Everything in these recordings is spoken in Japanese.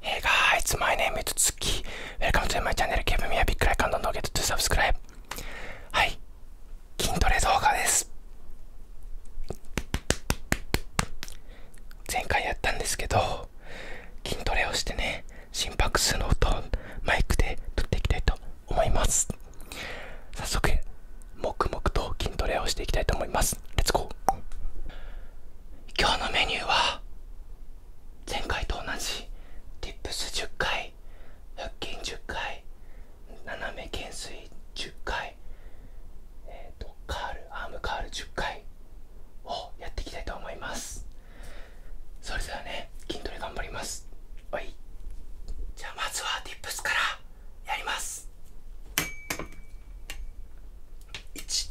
Hey guys, my name is Tsuki. Welcome to my channel. Give me a big like and don't forget to subscribe. はい、筋トレ動画です。前回やったんですけど、筋トレをしてね、心拍数の音をマイクで撮っていきたいと思います。早速、黙々と筋トレをしていきたいと思います。レッツゴー今日のメニューは前回と同じディップス10回腹筋10回斜め減衰10回えっ、とカールアームカール10回をやっていきたいと思いますそれではね筋トレ頑張りますはいじゃあまずはディップスからやります1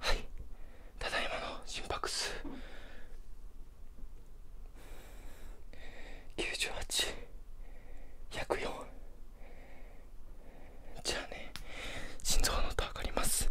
はいただいまの心拍数98104じゃあね心臓の音上がります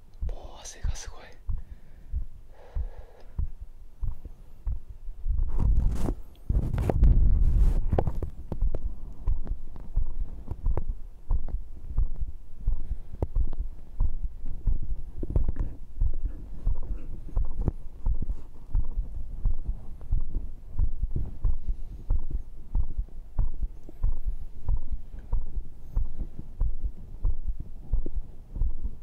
もう汗がすごい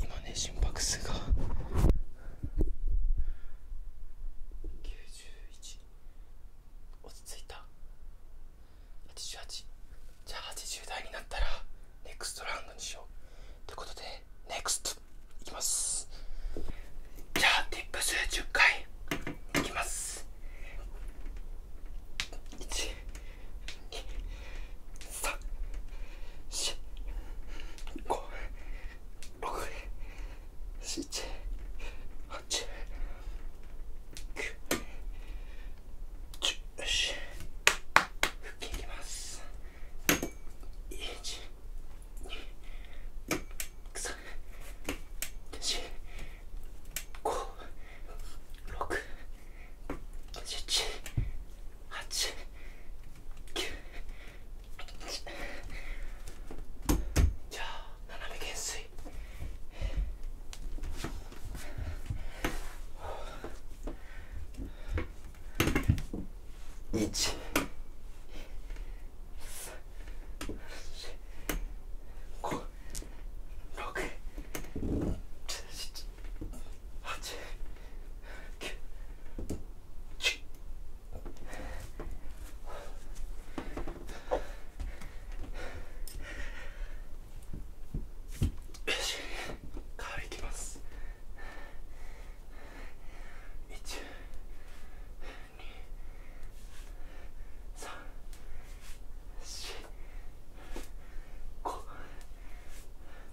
今ね心拍数が91落ち着いた88じゃあ80代になったらネクストラウンドにしようということでネクストいきますじゃあティップス10回いきます1 2三四五六七八九十よし腹筋いきます一二三四五六七八九じゃあ斜め減衰一。五。六。七。8。1。1。行きます。2。3。4。5。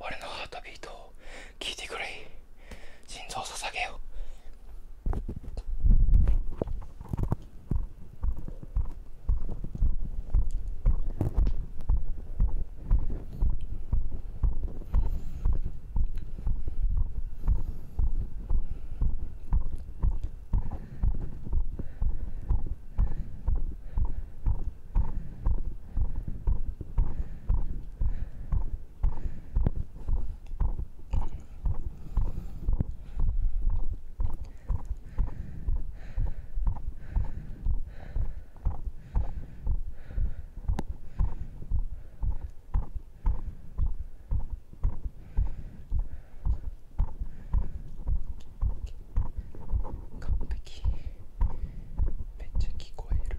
俺のハートビートを聞いてくれ心臓を捧げよう完璧。めっちゃ聞こえる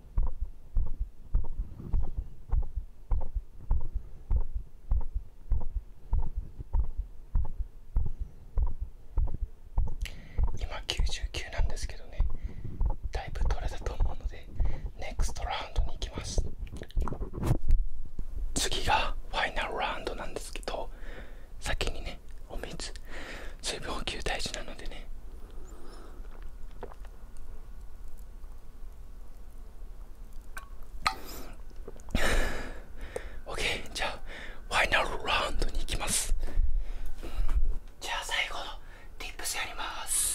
今99なんですけどねだいぶ取れたと思うのでネクストラウンドに行きます次がファイナルラウンドなんですけど先にねお水水分補給大事なのでね OK じゃあファイナルラウンドに行きますじゃあ最後の Tips やります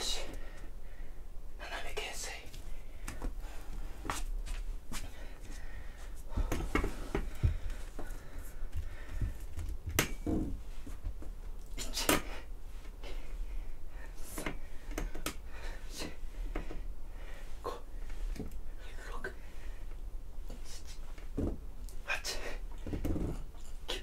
し斜め懸垂1 2 3 1 2 3 4 5 6 7 8 9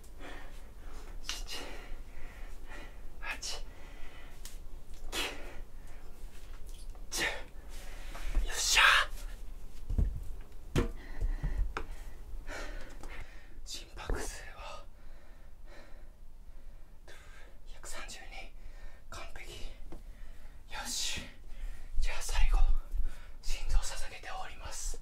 よっしゃ心拍数は130人完璧よしじゃあ最後心臓をささげております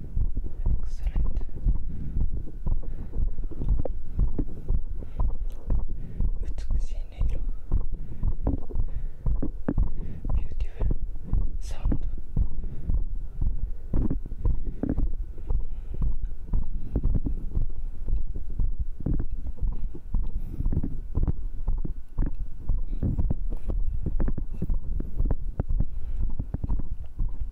Excellent. Beautiful sound.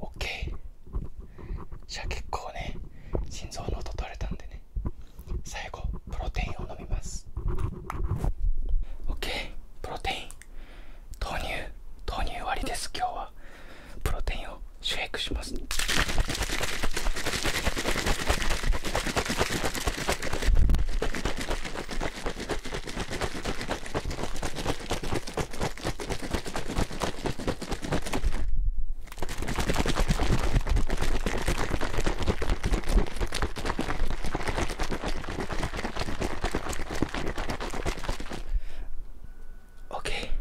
OK じゃあ結構ね心臓の音取れたんでね最後プロテインを飲みます OK プロテイン豆乳豆乳割りです今日はプロテインをシェイクします…オッケ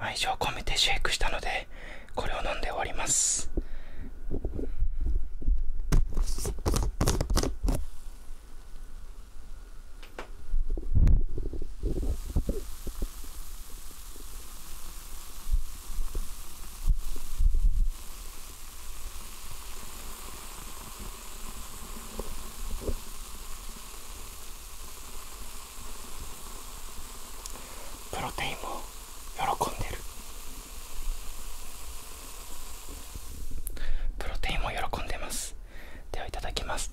ー、愛情込めてシェイクしたのでこれを飲んでおりますプロテインも喜んでるプロテインも喜んでますではいただきます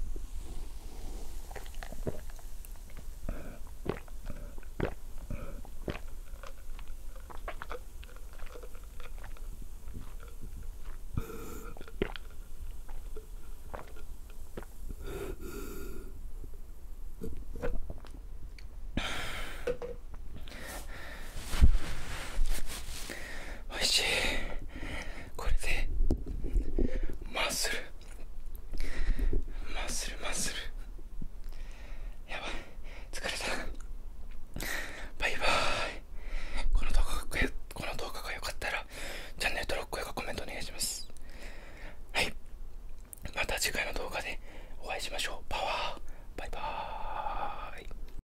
おいしいこれでマッスルマッスルマッスルやばい疲れたバイバーイこの動画がこの動画が良かったらチャンネル登録高評価コメントお願いしますはいまた次回の動画でお会いしましょうパワーバイバーイ